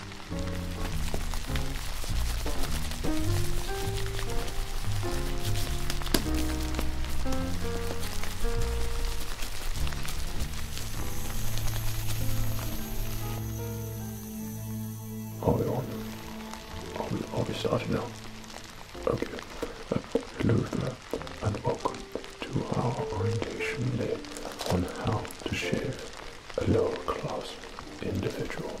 Are we on? Are starting now? Okay. Hello and welcome to our orientation day on how to share a lower class individual.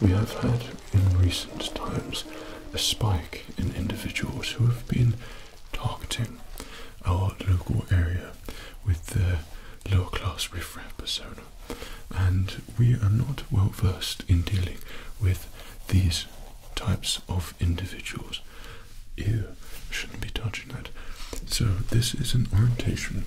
We have had in recent times a spike in individuals who have been targeting our local area with the lower class riffraff persona, and we are not well versed in dealing with these types of individuals. You shouldn't be touching that. So, this is an orientation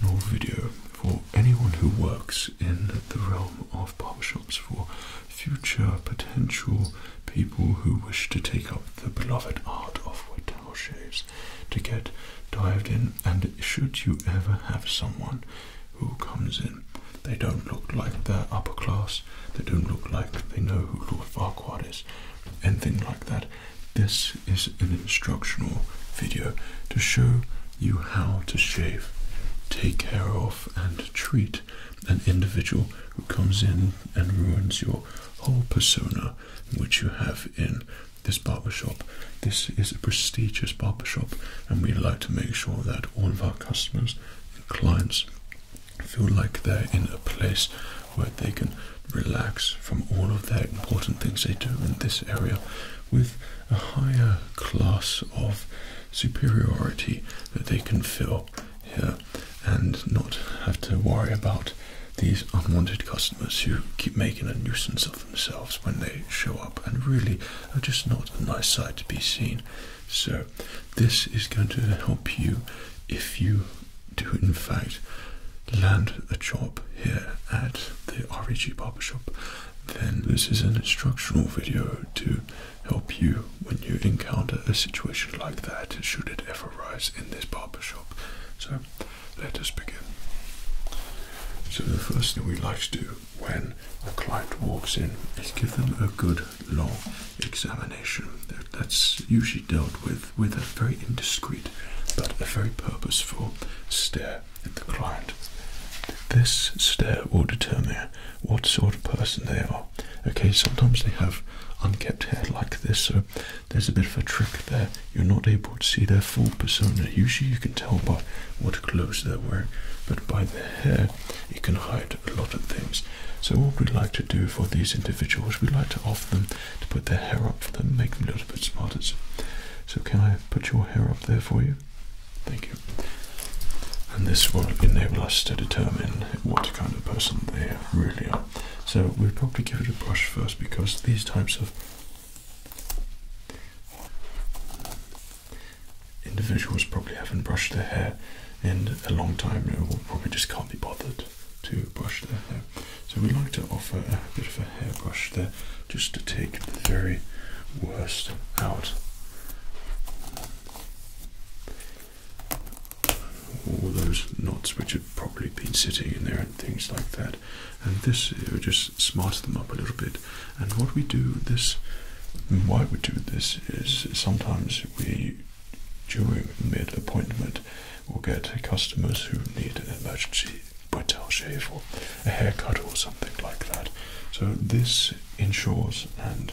nor video for anyone who works in the realm of barbershops for future potential people who wish to take up the beloved art of white towel shaves to get dived in. And should you ever have someone who comes in, they don't look like they're upper class, they don't look like they know who Lord Farquhar is, anything like that. This is an instructional video to show you how to shave, take care of, and treat an individual who comes in and ruins your whole persona which you have in this barber shop. This is a prestigious barber shop, and we like to make sure that all of our customers and clients feel like they're in a place where they can relax from all of their important things they do in this area with a higher class of superiority that they can fill here and not have to worry about these unwanted customers who keep making a nuisance of themselves when they show up and really are just not a nice sight to be seen. So, this is going to help you if you to in fact land a job here at the REG shop, then this is an instructional video to help you when you encounter a situation like that, should it ever arise in this barber shop. So let us begin. So the first thing we like to do when a client walks in is give them a good long examination. That's usually dealt with with, a very indiscreet but a very purposeful stare at the client. This stare will determine what sort of person they are. Okay, sometimes they have unkempt hair like this, so there's a bit of a trick there. You're not able to see their full persona. Usually you can tell by what clothes they're wearing, but by the hair, you can hide a lot of things. So what we like to do for these individuals, we like to offer them to put their hair up for them, make them look a little bit smarter. So can I put your hair up there for you? Thank you. And this will enable us to determine what kind of person they really are. So we'll probably give it a brush first because these types of individuals probably haven't brushed their hair in a long time or probably just can't be bothered to brush their hair. So we like to offer a bit of a hairbrush there just to take the very worst out. All those knots which have probably been sitting in there and things like that. And this just smarts them up a little bit. And what we do this why we do this is sometimes we during mid appointment will get customers who need an emergency bridal shave or a haircut or something like that. So this ensures and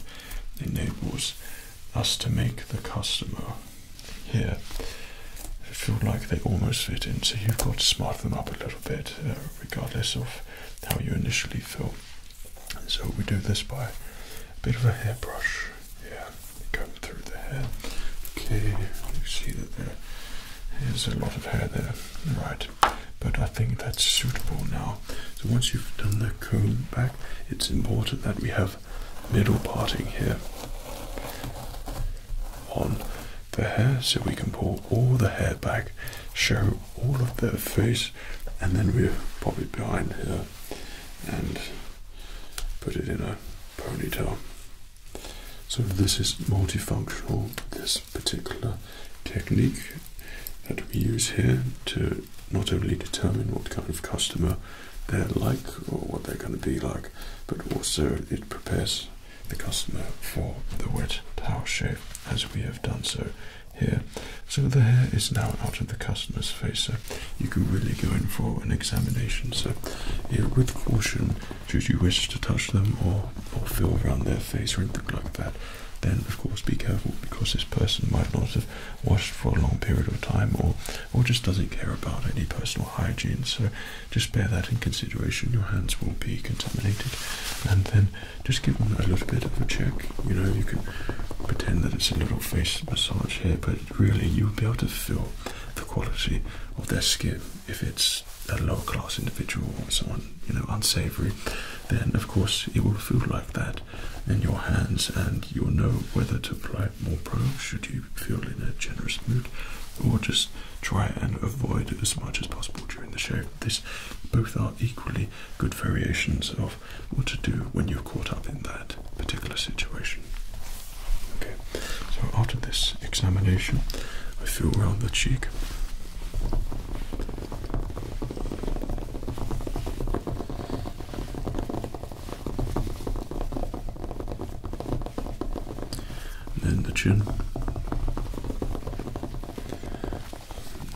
enables us to make the customer here feel like they almost fit in. So you've got to smart them up a little bit, uh, regardless of how you initially feel. So we do this by a bit of a hairbrush. Yeah, it comes through the hair. Okay, you see that there is a lot of hair there, right? But I think that's suitable now. So once you've done the comb back, it's important that we have middle parting here on the hair so we can pull all the hair back, show all of the face, and then we pop it behind here and put it in a ponytail. So this is multifunctional, this particular technique that we use here to not only determine what kind of customer they're like or what they're going to be like, but also it prepares the customer for the wet towel shave as we have done so here. So the hair is now out of the customer's face, so you can really go in for an examination. So, with caution, should you wish to touch them or, or feel around their face or anything like that, then of course be careful because this person might not have washed for a long period of time or, or just doesn't care about any personal hygiene. So just bear that in consideration. Your hands will be contaminated and then just give them a little bit of a check. You know, you can pretend that it's a little face massage here, but really you'll be able to feel the quality of their skin if it's a lower class individual or someone you know unsavory, then of course it will feel like that in your hands, and you'll know whether to apply more probes should you feel in a generous mood, or just try and avoid as much as possible during the shave. This both are equally good variations of what to do when you're caught up in that particular situation. Okay, so after this examination, I feel around the cheek. then the chin,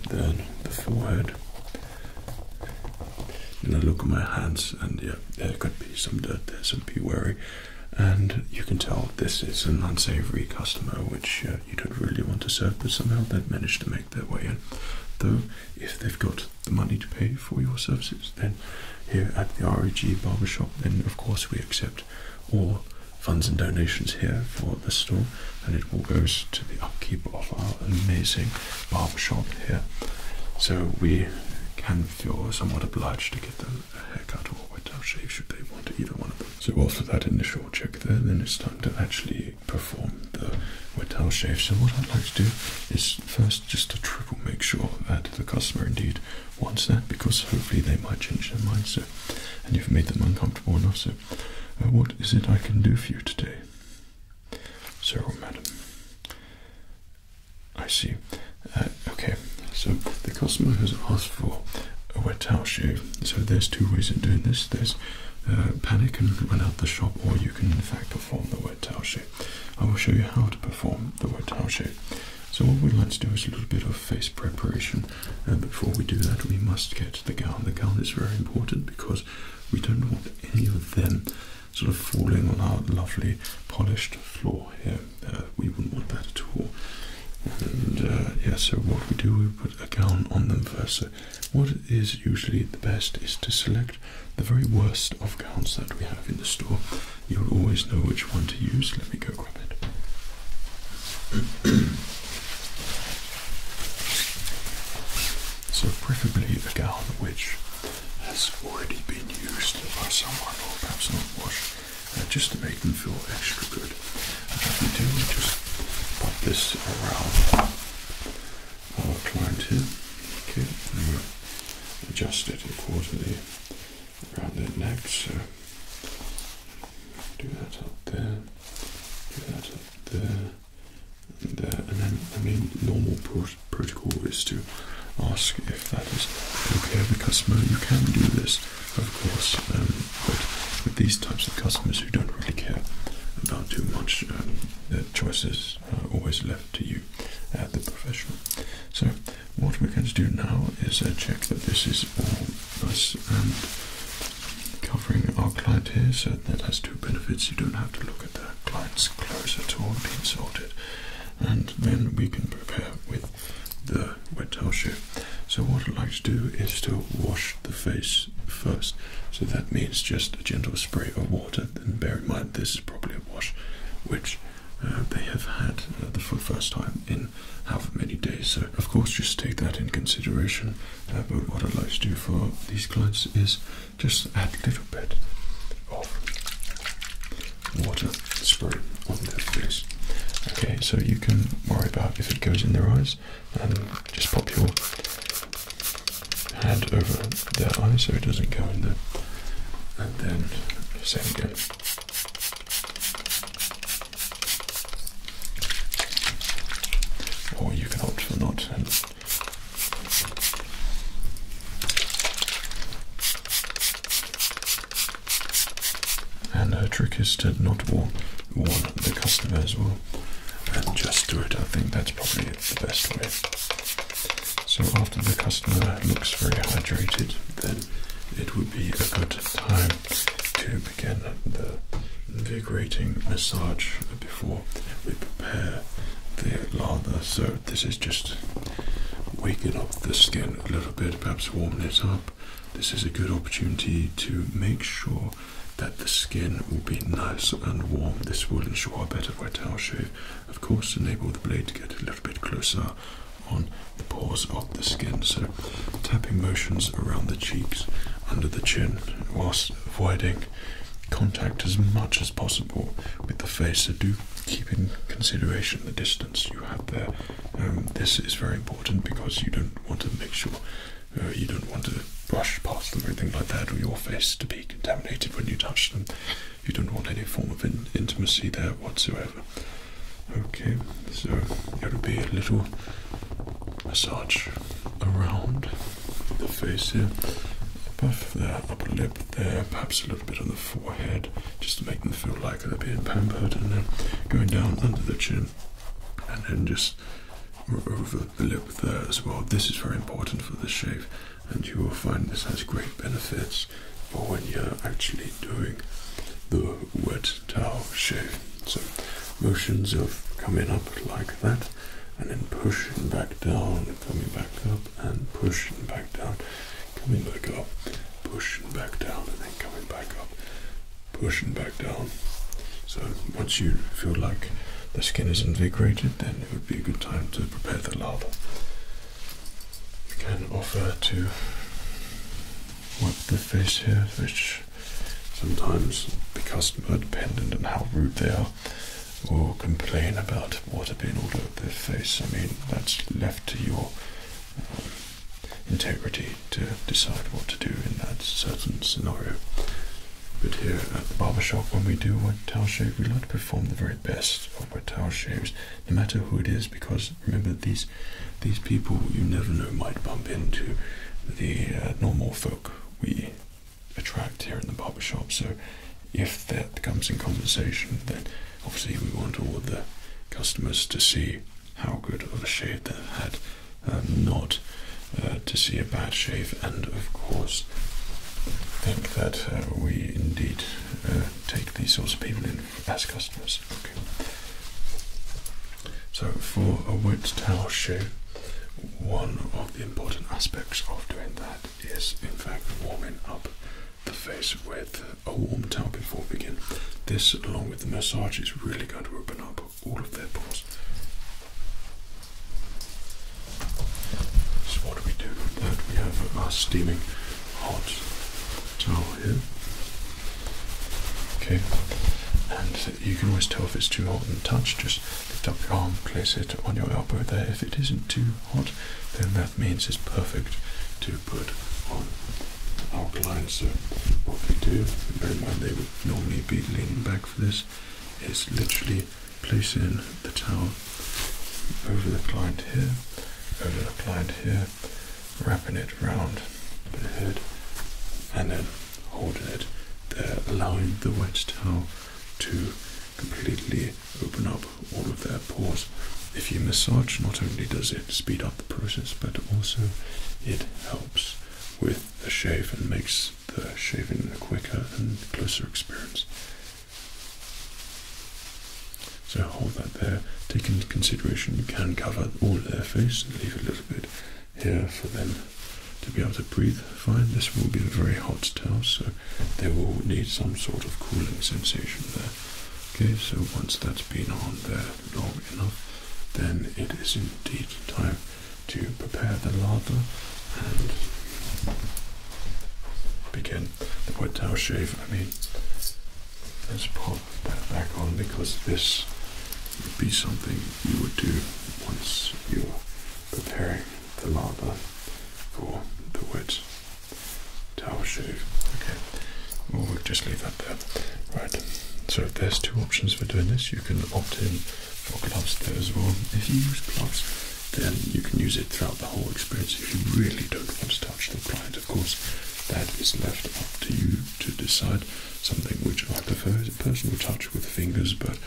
then the forehead. And I look at my hands, and yeah, there could be some dirt, there's some pee wary and you can tell this is an unsavory customer which uh, you don't really want to serve, but somehow they've managed to make their way in. Though, if they've got the money to pay for your services, then here at the REG Barbershop, then of course we accept all funds and donations here for the store, and it all goes to the upkeep of our amazing barbershop here. So we can feel somewhat obliged to give them a haircut or a wet down shave should they want either one of them. So after that initial check there, then it's time to actually perform the wet towel shave. So what I'd like to do is first just to triple make sure that the customer indeed wants that because hopefully they might change their mind so and you've made them uncomfortable enough so uh, what is it I can do for you today? Sir or madam? I see. Uh, okay, so the customer has asked for a wet towel shave. So there's two ways of doing this. There's uh, panic and run out the shop, or you can in fact perform the wet towel shave. I will show you how to perform the wet towel shave. So what we'd like to do is a little bit of face preparation. before we do that, we must get the gown. The gown is very important because we don't want any of them sort of falling on our lovely polished floor. Uh, we wouldn't want that at all. Uh, yeah, so what we do, we put a gown on them first. So what is usually the best is to select the very worst of gowns that we have in the store. You'll always know which one to use. Let me go grab it. so preferably a gown which has already been used by someone or perhaps not washed uh, just to make them feel extra good. Which I can do, just pop this around our client here, okay, adjust it accordingly around their neck. So do that up there, up there, and there, and then I mean normal protocol is to ask if that is okay with the customer. You can do this of course, um, but with these types of customers who don't really care about too much, um, their choices are always left to you, the professional. So, what we're going to do now is uh, check that this is all nice and covering our client here, so that has two benefits. You don't have to look at the client's closer; at all, being sorted, and then we can prepare with the wet towel shoe. So what I'd like to do is to wash the face first. So that means just a gentle spray of water. And bear in mind this is probably a wash which uh, they have had uh, the, for the first time in how many days. So of course just take that in consideration. Uh, but what I'd like to do for these clients is just add a little bit of water spray on their face. Okay, so you can worry about if it goes in their eyes and just pop your hand over their eye so it doesn't go in there. And then same again. Or you can opt for not and her trick is to not warm the customers, as And just do it. I think that's probably the best way. So after the customer looks very hydrated, then it would be a good time to begin the invigorating massage before we prepare the lather. So this is just waking up the skin a little bit, perhaps warming it up, this is a good opportunity to make sure that the skin will be nice and warm. This will ensure a better wet towel shave, of course, enable the blade to get a little bit closer on the pores of the skin. So, tapping motions around the cheeks, under the chin, whilst avoiding contact as much as possible with the face. So, do keep in consideration the distance you have there um, this is very important because you don't want to make sure uh, you don't want to brush past them or anything like that, or your face to be contaminated when you touch them. You don't want any form of intimacy there whatsoever. Okay, so there will be a little massage around the face here, above the upper lip there, perhaps a little bit on the forehead, just to make them feel like back of pampered, and then going down under the chin, and then just over the lip there as well. This is very important for the shave, and you will find this has great benefits for when you're actually doing the wet towel shave. So, motions of coming up like that, and then pushing back down, coming back up, and pushing back down coming back up, pushing back down, and then coming back up, pushing back down. So once you feel like the skin is invigorated, then it would be a good time to prepare the lava. You can offer to wipe the face here, which sometimes the dependent on how rude they are, will complain about water being all over their face. I mean, that's left to your um, integrity to decide what to do in that certain scenario. But here at the barbershop, when we do a towel shave, we like to perform the very best of our towel shaves, no matter who it is, because remember these these people you never know might bump into the uh, normal folk we attract here in the barbershop. So if that comes in conversation, then obviously we want all the customers to see how good of a shave they've had, um, not uh, to see a bad shave, and of course, think that uh, we indeed uh, take these sorts of people in as customers. So, for a wood towel shave, one of the important aspects of doing that is, in fact, warming up the face with a warm towel before we begin. This, along with the massage, is really going to open up all of their pores. So what do we do with that? We have our steaming hot towel here. Okay, and you can always tell if it's too hot and touch, just lift up your arm, place it on your elbow there. If it isn't too hot, then that means it's perfect to put on alkaline. So what we do, bear in mind they would normally be leaning back for this, is literally placing the towel over the client here, over the client here, wrapping it round the head and then holding it there, allowing the wet towel to completely open up all of their pores. If you massage, not only does it speed up the process, but also it helps with the shave and makes the shaving a quicker and closer experience. So hold that there. Take into consideration you can cover all of their face and leave a little bit here for them to be able to breathe fine. This will be a very hot towel, so they will need some sort of cooling sensation there. Okay, so once that's been on there, long enough, then it is indeed time to prepare the larder and begin the wet towel shave. I mean, let's put that back on because this would be something you would do once you're preparing the larder for the wet towel shave. Okay, we'll just leave that there right. So there's two options for doing this. You can opt in for gloves there as well. If you use gloves, then you can use it throughout the whole experience. If you really don't want to touch the client, of course, that is left up to you to decide. Something which I prefer is personal touch with fingers, but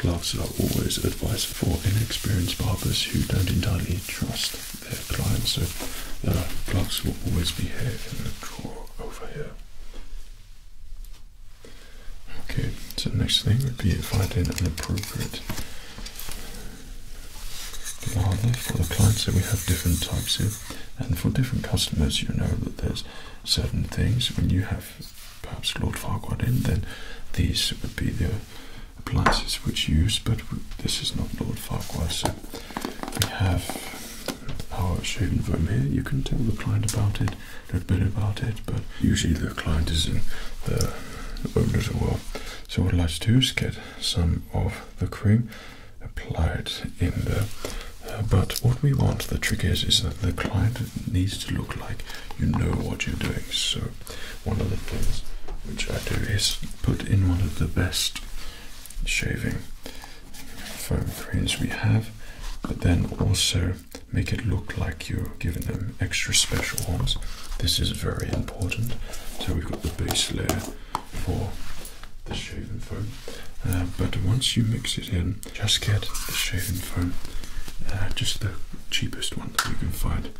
gloves are always advised for inexperienced barbers who don't entirely trust their clients. So uh, gloves will always be here in a drawer over here. Okay, so next thing would be finding an appropriate lather for the client. So we have different types here, and for different customers, you know that there's certain things. When you have perhaps Lord Farquaad in, then these would be the appliances which use, but this is not Lord Farquaad. So we have power shading foam here. You can tell the client about it, a little bit about it, but usually the client is not the owner as well. So what I'd like to do is get some of the cream apply it in there. Uh, but what we want, the trick is, is that the client needs to look like you know what you're doing. So one of the things which I do is put in one of the best shaving foam creams we have, but then also make it look like you're giving them extra special ones. This is very important. So we've got the base layer for the shaving foam, uh, but once you mix it in, just get the shaving foam, uh, just the cheapest one that you can find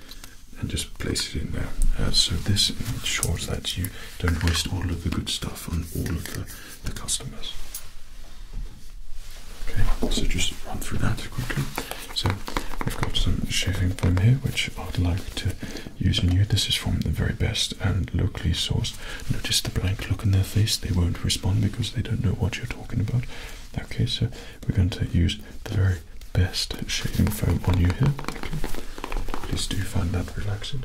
and just place it in there. Uh, so this ensures that you don't waste all of the good stuff on all of the, customers. Okay, so just run through that quickly. So we've got some shaving foam here, which I'd like to use on you. This is from the very best and locally sourced. Notice the blank look on their face; they won't respond because they don't know what you're talking about. Okay, so we're going to use the very best shaving foam on you here. Okay. Please do find that relaxing.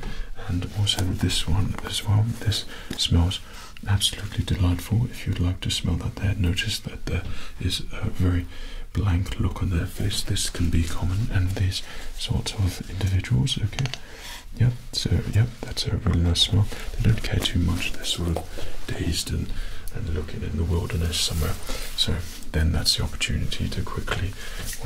And also this one as well. This smells absolutely delightful. If you'd like to smell that there, notice that there is a very blank look on their face. This can be common and these sorts of individuals, okay? Yep, so yep, that's a really nice smell. They don't care too much, they're sort of dazed and and looking in the wilderness somewhere. So then that's the opportunity to quickly,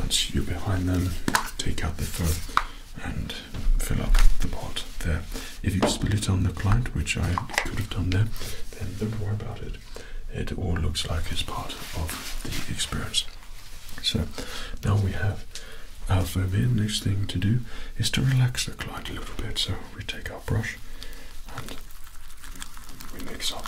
once you're behind them, take out the foam and fill up the pot there. If you spill it on the client, which I could have done there, then don't worry about it. It all looks like it's part of the experience. So now we have our foam in. Next thing to do is to relax the client a little bit. So we take our brush and we mix up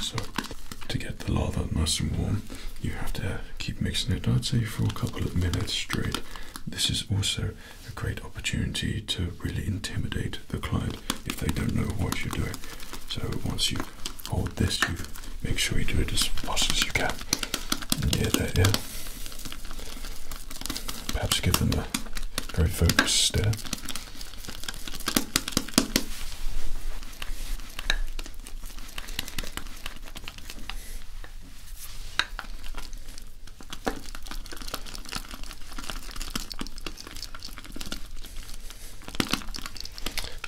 So, to get the lava nice and warm, you have to keep mixing it, I'd say, for a couple of minutes straight. This is also a great opportunity to really intimidate the client if they don't know what you're doing. So, once you hold this, you make sure you do it as fast as you can. Yeah, yeah. Perhaps give them a very focused stare.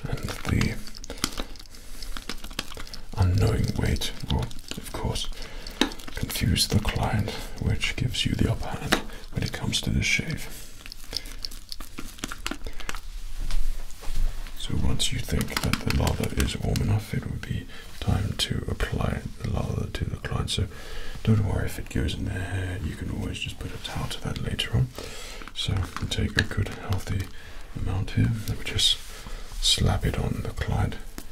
And the unknowing weight will, of course, confuse the client, which gives you the upper hand when it comes to the shave. So once you think that the lather is warm enough, it would be time to apply the lather to the client. So don't worry if it goes in there; you can always just put a towel to that later on. So take a good healthy amount here, and we just slap it on the client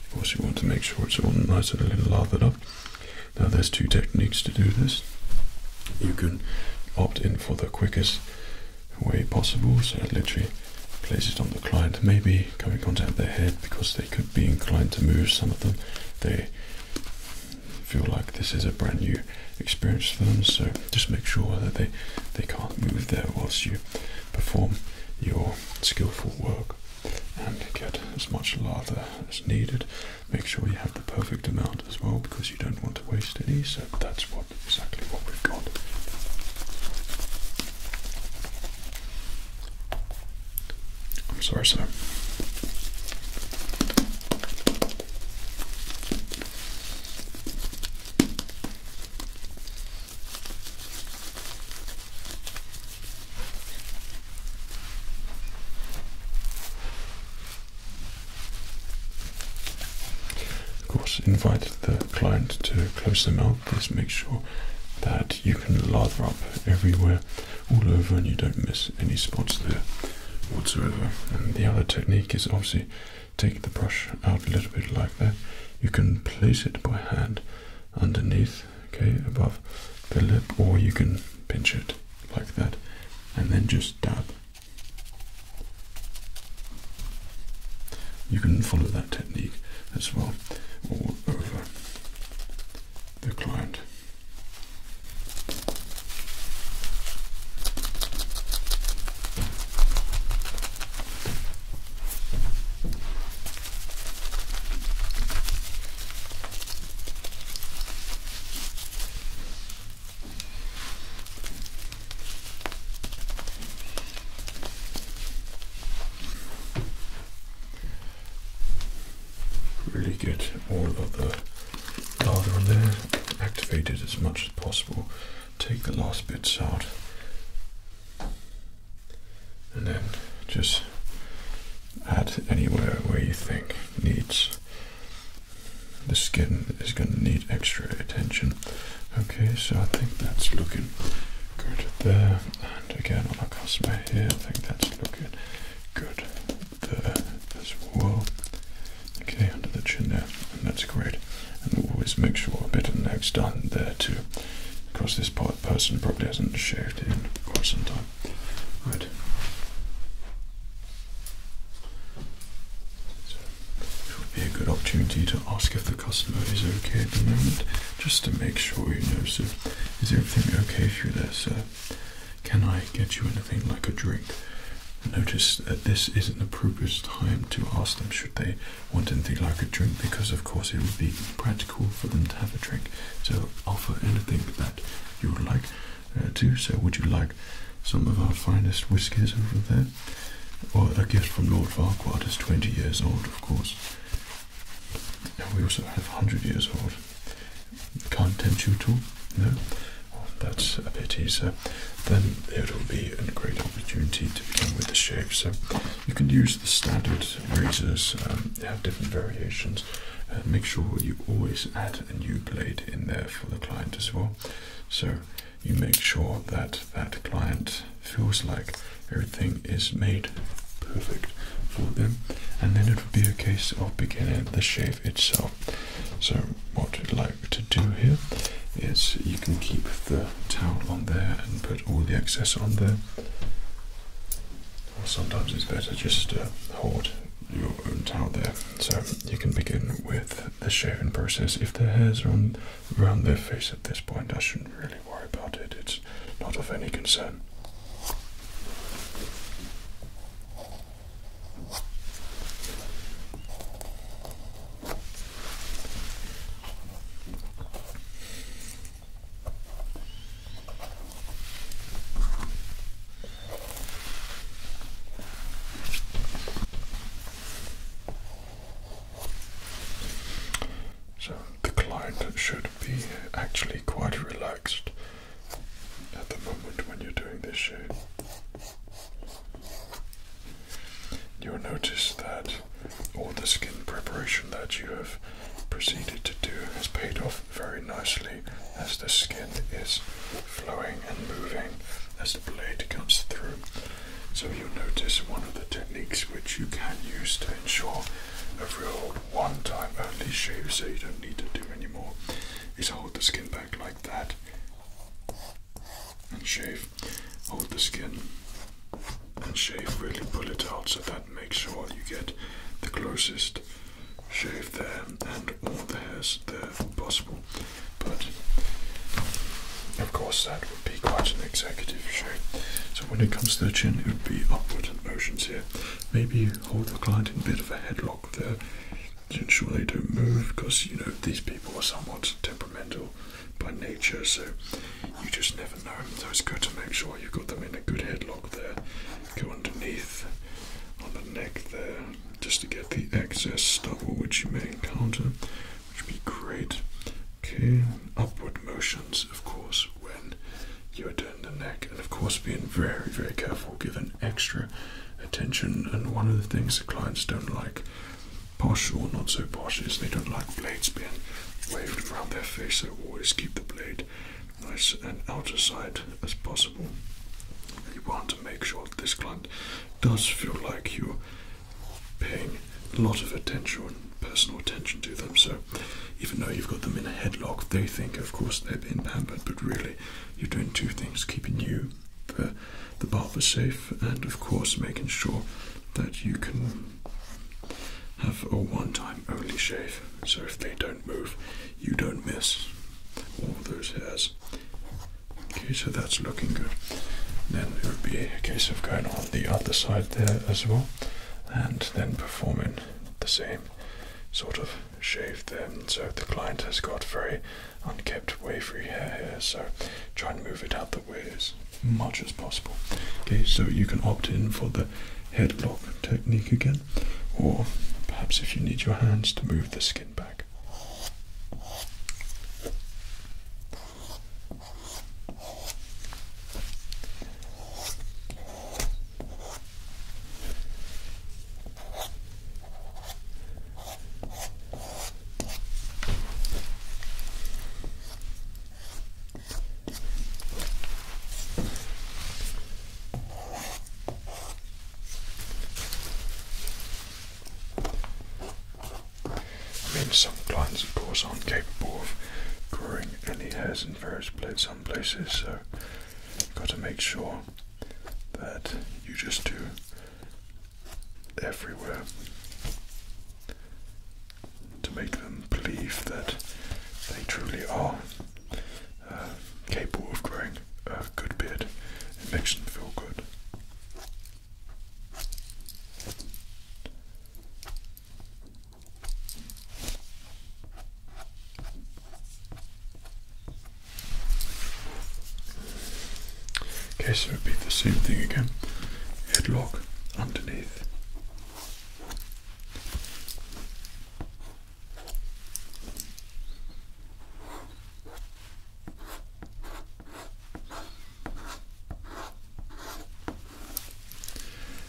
Of course, you want to make sure it's all nice and a little lathered up. Now, there's two techniques to do this. You can opt in for the quickest way possible, so literally place it on the client, maybe coming contact their head because they could be inclined to move. Some of them, they feel like this is a brand new experience for them, so just make sure that they, they can't move there whilst you perform your skillful work and get as much lather as needed. Make sure you have the perfect amount as well because you don't want to waste any, so that's what exactly what we've got. I'm sorry, sir. Of course, invite the client to close the mouth. Please make sure that you can lather up everywhere, all over, and you don't miss any spots there whatsoever. And the other technique is obviously take the brush out a little bit like that. You can place it by hand underneath, okay, above the lip, or you can pinch it like that and then just dab. You can follow that technique as well all over the client. Really get all of the larder on there activated as much as possible. Take the last bits out and then just add anywhere where you think needs the skin is going to need extra attention. Okay, so I think that's looking good there, and again on the customer here, I think that's looking good there as well. Okay, under the chin there, and that's great. And always make sure a bit of neck's done there too because this person probably hasn't shaved in quite some time. Right. it would be a good opportunity to ask if the customer is okay at the moment, just to make sure you know. So, is everything okay for there, sir? Can I get you anything like a drink? Notice that this is not the appropriate time to ask them should they want anything like a drink because, of course, it would be practical for them to have a drink. So, offer anything that you would like uh, to. So, would you like some of our finest whiskies over there? Or a gift from Lord Farquhar is 20 years old, of course. we also have 100 years old. Can't tempt you too, No? Oh, that's a pity, so then it'll be a great opportunity to begin with the shape. So you can use the standard razors um, have different variations. Uh, make sure you always add a new blade in there for the client as well. So you make sure that that client feels like everything is made perfect for them, and then it would be a case of beginning the shave itself. So what I'd like to do here is you can keep the towel on there and put all the excess on there sometimes it's better just to hold your own towel there. So you can begin with the shaving process. If the hairs are on around their face at this point, I shouldn't really worry about it. It's not of any concern. So the client should be actually quite relaxed at the moment when you're doing this shade. You'll notice that all the skin preparation that you have proceeded to do has paid off very nicely as the skin is flowing and moving as the blade comes through. So you'll notice one of the techniques which you can use to ensure a real one-time only shave so you don't need to do any more. is hold the skin back like that and shave. Hold the skin and shave, really pull it out so that make sure you get the closest shave there and all the hairs there possible. But of course that would be quite an executive shave. So when it comes to the chin it would be upward motions here. Maybe hold the client in a bit of a headlock there to ensure they don't move because you know these people are somewhat temperamental by nature, so you just never know. So it's good to make sure you've got them in a good headlock there. Go underneath on the neck there, just to get the excess stubble which you may encounter, which would be great. Okay, upward motions, of course, when you are doing the neck, and of course, being very, very careful, given extra attention. And one of the things that clients don't like, posh or not so posh, is they don't like blades being waved around their face, so always keep the blade nice and out of sight as possible. You want to make sure that this client does feel like you're paying a lot of attention, and personal attention to them. So, even though you've got them in a headlock, they think, of course, they have been pampered, but really, you're doing two things keeping you, the, the barber, safe, and of course, making sure that you can have a one time only shave, so if they don't move, you don't miss all those hairs. Okay, so that's looking good. Then it would be a case of going on the other side there as well, and then performing the same sort of shave there. So the client has got very unkempt, wavy hair here, so try and move it out the ways much as possible. Okay, so you can opt in for the headlock technique again, or perhaps if you need your hands to move the skin back. I mean, some plants, of course, aren't capable of growing any hairs in various places, some places, so you've got to make sure that you just do everywhere to make them believe that they truly are uh, capable of growing a good beard. It makes them feel good. Okay, so repeat the same thing again. Headlock underneath.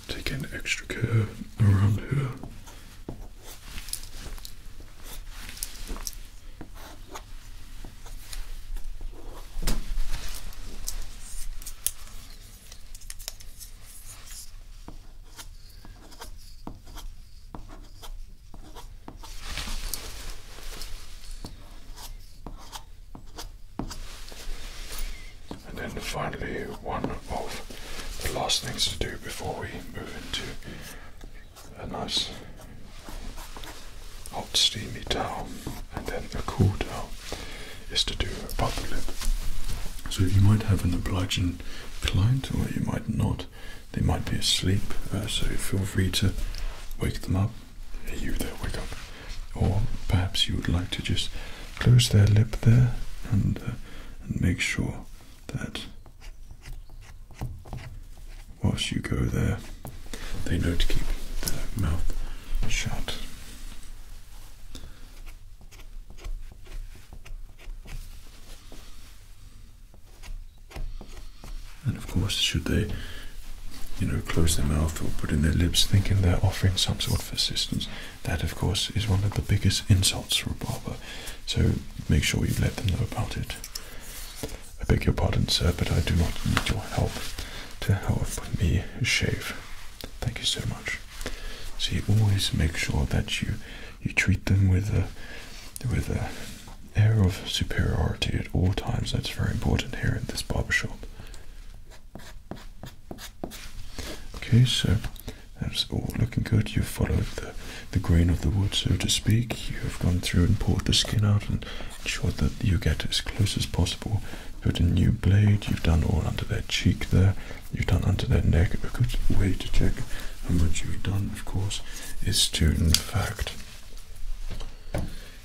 Take an extra care around here. And then finally, one of the last things to do before we move into a nice hot steamy towel and then a cool towel is to do above the lip. So you might have an obliging client, or you might not. They might be asleep, uh, so feel free to wake them up. you there, wake up. Or perhaps you would like to just close their lip there and, uh, and make sure that whilst you go there, they know to keep their mouth shut. And of course, should they, you know, close their mouth or put in their lips thinking they're offering some sort of assistance, that of course is one of the biggest insults for a barber. So make sure you let them know about it. I beg your pardon, sir, but I do not need your help to help me shave. Thank you so much. So you always make sure that you you treat them with a with a air of superiority at all times. That's very important here in this barber shop. Okay, so that's all looking good. You've followed the, the grain of the wood, so to speak. You have gone through and poured the skin out and ensured that you get as close as possible. Put a new blade, you've done all under their cheek there you've done under their neck. A good way to check how much you've done, of course, is to, in fact,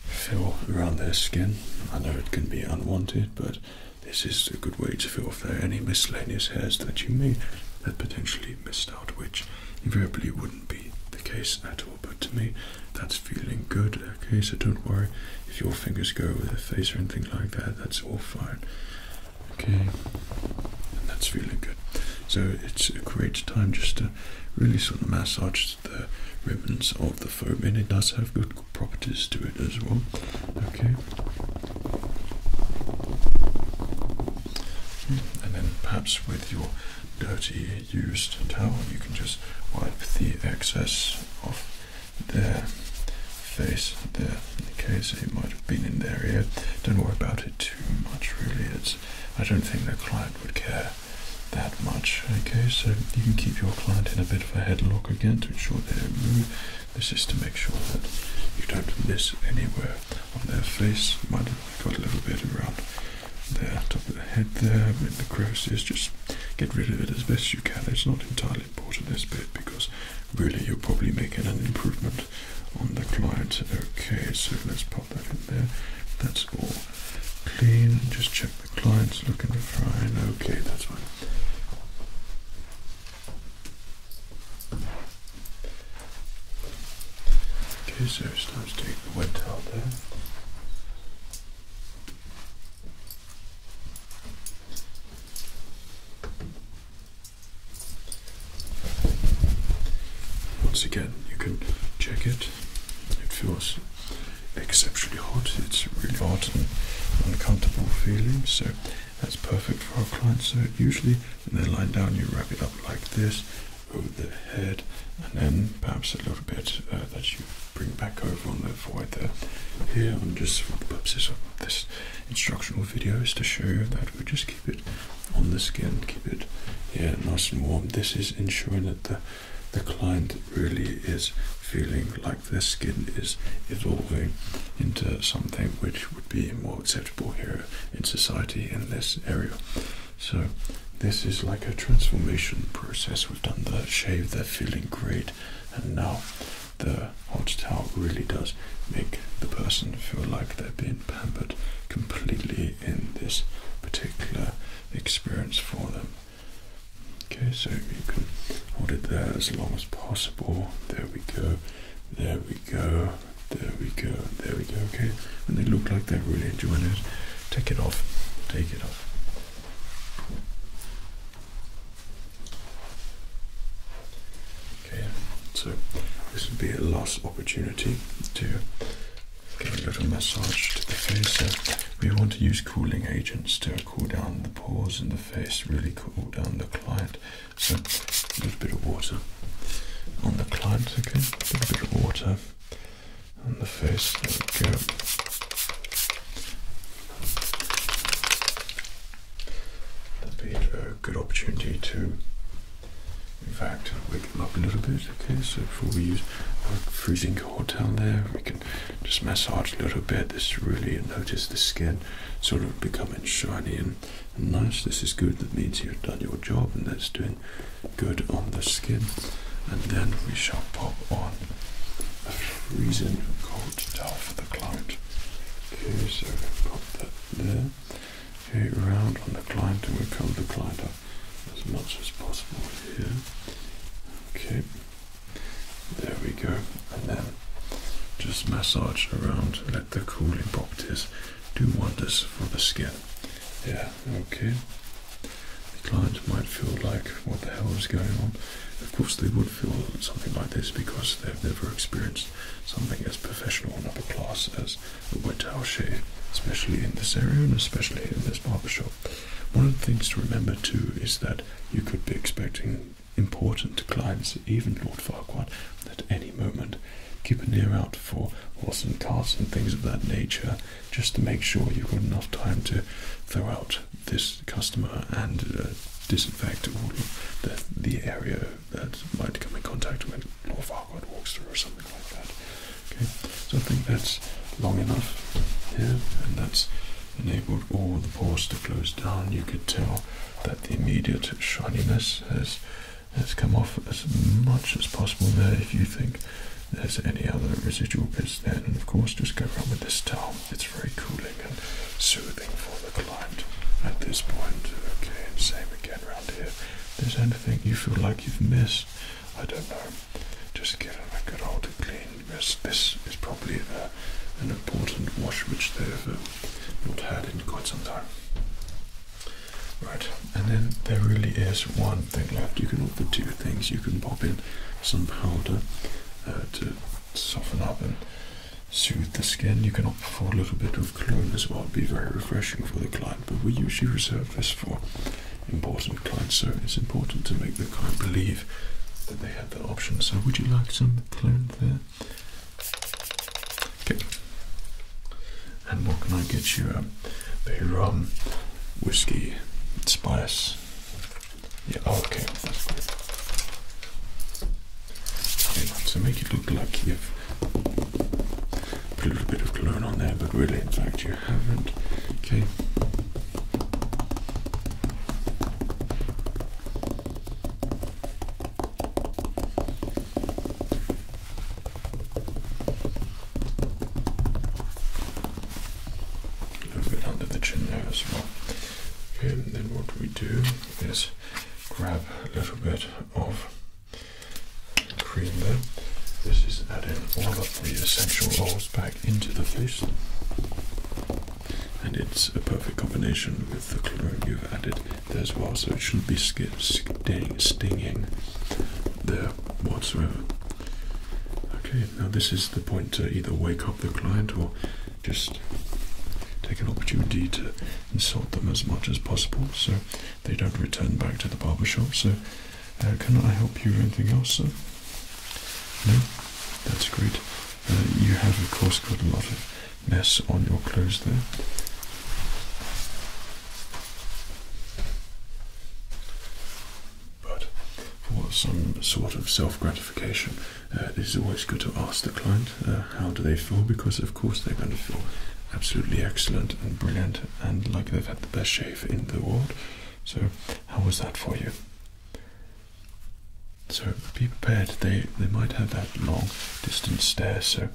feel around their skin. I know it can be unwanted, but this is a good way to feel if there are any miscellaneous hairs that you may have potentially missed out, which invariably wouldn't be the case at all. But to me, that's feeling good. Okay, so don't worry if your fingers go with the face or anything like that, that's all fine. Okay, that's really good. So it's a great time just to really sort of massage the ribbons of the foam, and it does have good properties to it as well. Okay. And then perhaps with your dirty used towel, you can just wipe the excess off their face there. Okay, so it might have been in their ear. Don't worry about it too much, really. It's I don't think their client would care that much. Okay, so you can keep your client in a bit of a headlock again to ensure that This is to make sure that you don't miss anywhere on their face. Might have got a little bit around the top of the head there, in the crosses. Just get rid of it as best you can. It's not entirely highly this bit because really you're probably making an improvement on the client. Okay, so let's pop that in there. That's all clean. Just check the client's looking fine. Okay, that's fine. Okay, so it's time to take the wet towel there. Once again, you can check it. It feels exceptionally hot. It's a really hot and uncomfortable feeling. So that's perfect for our clients. So usually when they lie lying down, you wrap it up like this over the head, and then perhaps a little bit uh, that you bring back over on the here. I'm just for the purposes of this instructional video is to show you that we just keep it on the skin, keep it yeah nice and warm. This is ensuring that the the client really is feeling like their skin is evolving into something which would be more acceptable here in society in this area. So this is like a transformation process. We've done the shave, they're feeling great, and now the hot towel really does make the person feel like they're being pampered completely in this particular experience for them. Okay, so you can hold it there as long as possible. There we go, there we go, there we go, there we go. Okay, and they look like they're really enjoying it. Take it off, take it off. Okay, so this would be a last opportunity to give a little massage to the face. we want to use cooling agents to cool down the pores and the face, really cool down the client. So a little bit of water on the client, okay? A little bit of water on the face. That'd be a good opportunity to, in fact, wake them up a little bit. Okay, so before we use our freezing cold down there, we can just massage a little bit. This really notice the skin sort of becoming shiny and, and nice. This is good. That means you've done your job, and that's doing good on the skin. And then we shall pop on a freezing cold to tell for the client. Okay, so we've got that there. Okay, round on the client and we cover the client up as much as possible here. Okay, there we go. And then just massage around, let the cooling properties do wonders for the skin. Yeah, okay. The client might feel like, what the hell is going on? Of course, they would feel something like this because they've never experienced something as professional and upper class as a wet towel shave, especially in this area and especially in this barber shop. One of the things to remember too is that you could be expecting important clients, even Lord Farquhar, at any moment. Keep an ear out for horse and carts and things of that nature, just to make sure you've got enough time to throw out this customer and uh, disinfect all the, the area that might come in contact when Lord Farquaad walks through or something like that. Okay, so I think that's long enough here, and that's enabled all the pores to close down. You could tell that the immediate shininess has has come off as much as possible there. If you think there's any other residual bits, then of course just go around with this towel. It's very cool and soothing for the client at this point. Okay, same again round here. If there's anything you feel like you've missed, I don't know. Just give them a good old clean mist. This is probably uh, an important wash which they've um, not had in quite some time. Right, and then there really is one thing left. You can offer two things. You can pop in some powder uh, to soften up and soothe the skin. You can offer a little bit of cologne as well. It'd be very refreshing for the client, but we usually reserve this for important clients, so it's important to make the client believe that they had that option. So would you like some cologne there? Okay. And what can I get you? Um, the rum, whiskey, spice, yeah, okay, so make it look like you've put a little bit of cologne on there, but really, in fact, you haven't. Okay. A little bit under the chin there as well. Okay, then what we do is grab a little bit of cream there. This is adding all of the essential oils back into the face, And it's a perfect combination with the cologne you've added there as well, so it shouldn't be sting stinging there whatsoever. Okay, now this is the point to either wake up the client or just take an opportunity to insult them as much as possible so they don't return back to the barber shop. So, uh, can I help you with anything else, No? That's great. Uh, you have, of course, got a lot of mess on your clothes there. But for some sort of self gratification, uh, it is always good to ask the client uh, how do they feel because of course they're going to feel absolutely excellent and brilliant and like they've had the best shave in the world. So how was that for you? So be prepared. They they might have that long distance stare. So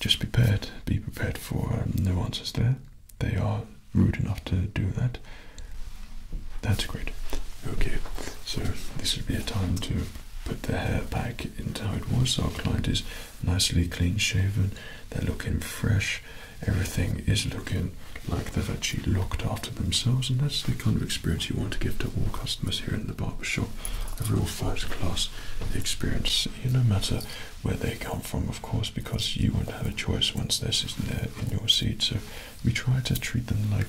just be prepared. Be prepared for um, answers there. They are rude enough to do that. That's great. Okay. So this would be a time to put the hair back into how it was. our client is nicely clean shaven, they're looking fresh, everything is looking like they've actually looked after themselves, and that's the kind of experience you want to give to all customers here in the barber shop. A real first class experience, you no matter where they come from, of course, because you won't have a choice once they're there in your seat. So we try to treat them like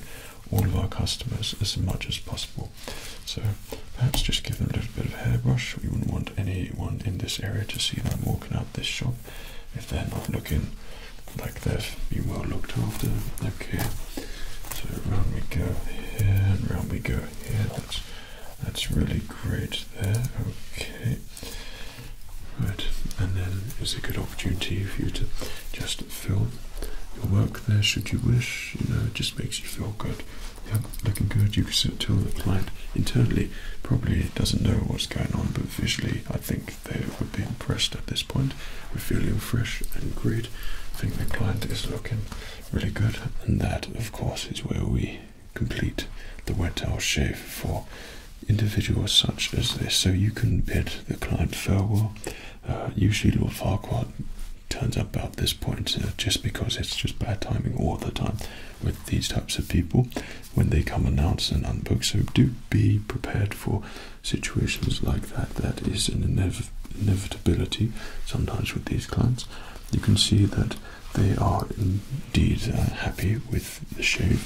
all of our customers as much as possible. So perhaps just give them a little bit of hairbrush. We wouldn't want anyone in this area to see them walking out this shop if they're not looking like they've been well looked after. Okay. So round we go here and round we go here. That's that's really great there. Okay. Right, and then it's a good opportunity for you to just fill your work there should you wish. You know, it just makes you feel good. Yeah, looking good. You can tell the client internally probably doesn't know what's going on, but visually I think they would be impressed at this point. We're feeling fresh and great. I think the client is looking really good. And that, of course, is where we complete the wet towel shave for individuals such as this. So you can bid the client farewell uh, usually Lord Farquhar turns up about this point uh, just because it's just bad timing all the time with these types of people when they come announce and unbook. So do be prepared for situations like that. That is an inevitability sometimes with these clients. You can see that they are indeed uh, happy with the shave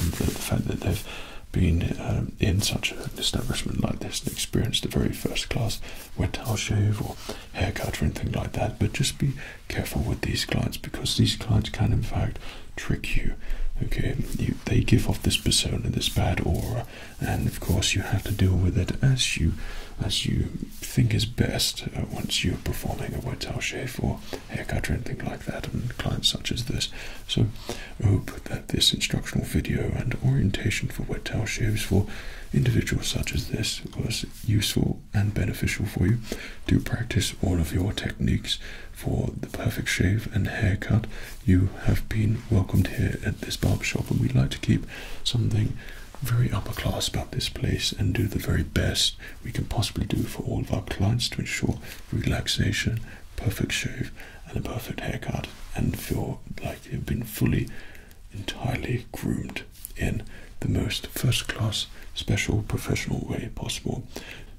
and the fact that they've been um, in such a establishment like this and experience the very first class wet towel shave or haircut or anything like that. But just be careful with these clients because these clients can, in fact, trick you. Okay, they give off this persona, this bad aura, and of course you have to deal with it as you, as you think is best. Uh, once you're performing a wet towel shave or haircut or anything like that, and clients such as this, so I hope that this instructional video and orientation for wet towel shaves for individuals such as this was useful and beneficial for you to practice all of your techniques for the perfect shave and haircut. You have been welcomed here at this barbershop and we would like to keep something very upper class about this place and do the very best we can possibly do for all of our clients to ensure relaxation, perfect shave, and a perfect haircut and feel like like have been fully, entirely groomed in the most first class, special, professional way possible.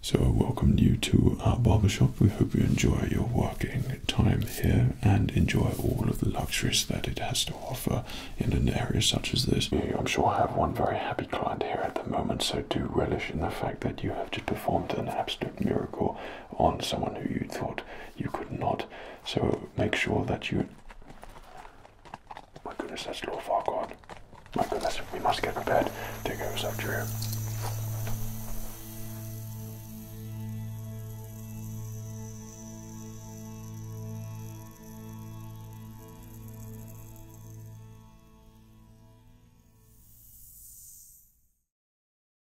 So, I welcome you to our barber shop. We hope you enjoy your working time here and enjoy all of the luxuries that it has to offer in an area such as this. I'm sure I have one very happy client here at the moment, so do relish in the fact that you have just performed an absolute miracle on someone who you thought you could not. So make sure that you. My goodness, that's Lord Farquaad. My goodness, we must get prepared. There goes our trio.